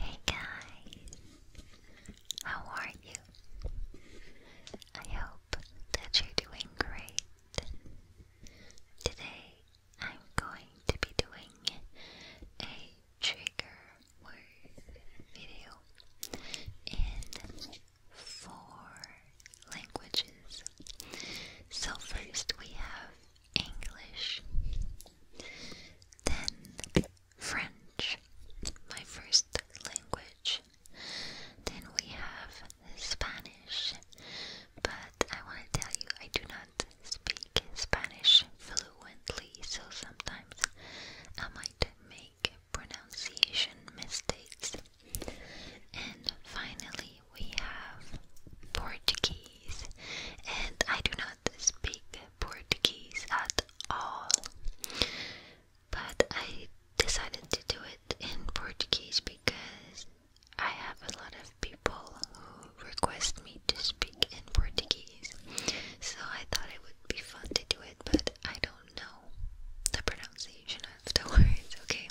Hey guys, how are you? I hope that you're doing great. Today I'm going to be doing a trigger word video in four languages. So, first we have English, then French, my first language. Then we have Spanish, but I want to tell you, I do not speak Spanish fluently, so sometimes I might make pronunciation mistakes. And finally, we have Portuguese, and I do not speak Portuguese at all. But I decided to do it in Portuguese because I have a lot of people who request me to speak in Portuguese, so I thought it would be fun to do it, but I don't know the pronunciation of the words, okay?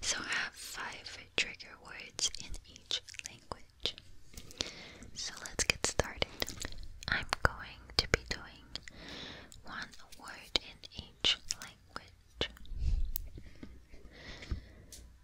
So I have five trigger words in each language. So let's get started. I'm going to be doing one word in each language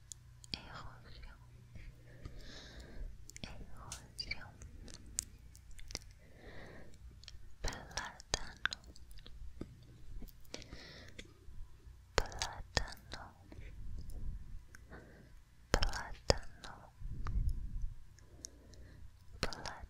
erosão, erosão, plátano, plátano, plátano, plátano, plátano.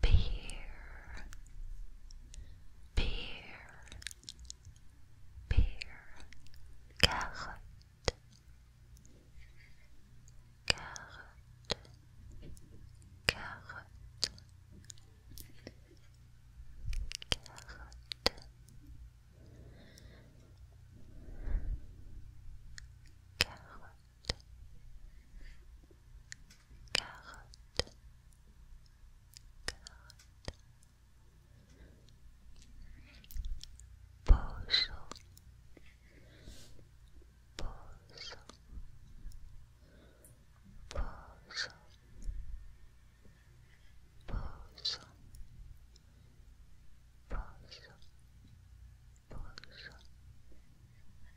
Peer, peer, peer, carrot, carrot, carrot, carrot. Carrot, carotte, carotte, pozo, pozo, pozo, pozo, pozo, pozo,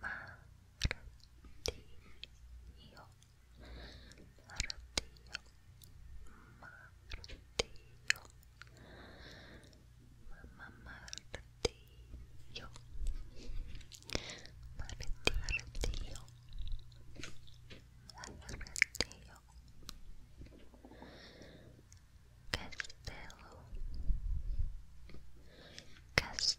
martillo, martillo, martillo, mamá martillo, martillo, martillo, Castelo, Castelo.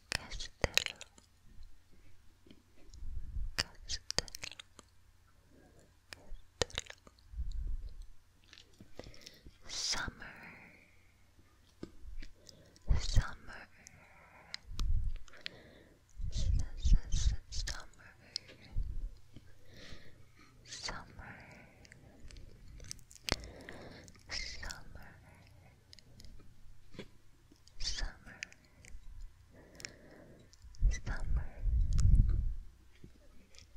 Castello, Castello, Castello. Summer, summer, S summer, summer, summer, summer, summer,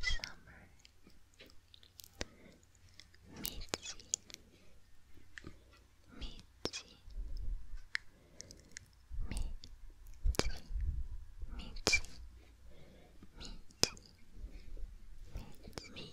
summer, Mitzi, Mitzi, Mitzi, Mitzi, Mitzi, Mitzi,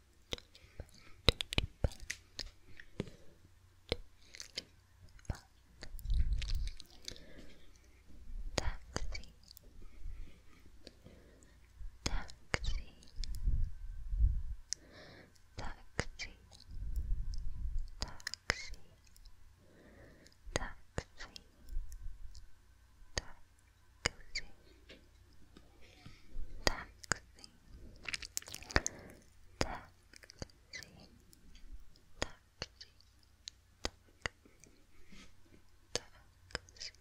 Taxi Taxi Taxi Taxi Taxi Taxi Taxi taxi, taxi, taxi, taxi,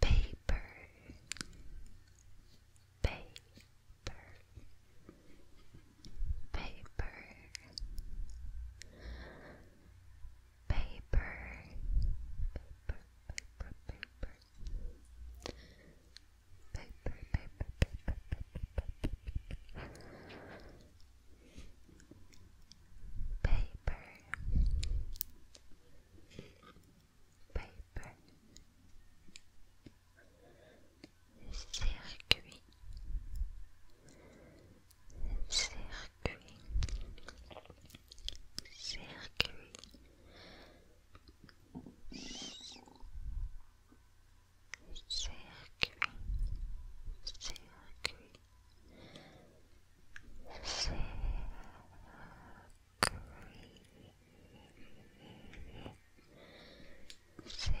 paper, paper, paper paper, paper, paper, paper, paper, paper, paper, paper, paper, paper, circuit, circuit, circuit, circuit, circuit, circuit, circuit. Circuit,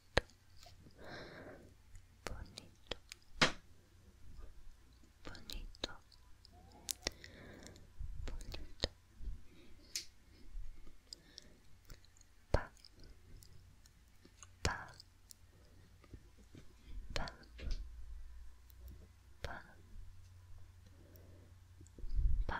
bonito bonito bonito pa pa pa pa pa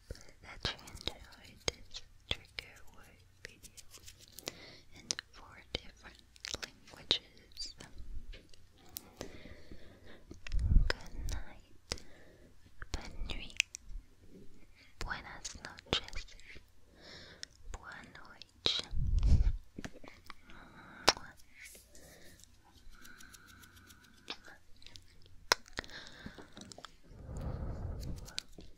that you enjoyed this trigger word video in four different languages. Good night, Benri. Buenas noches. Buenas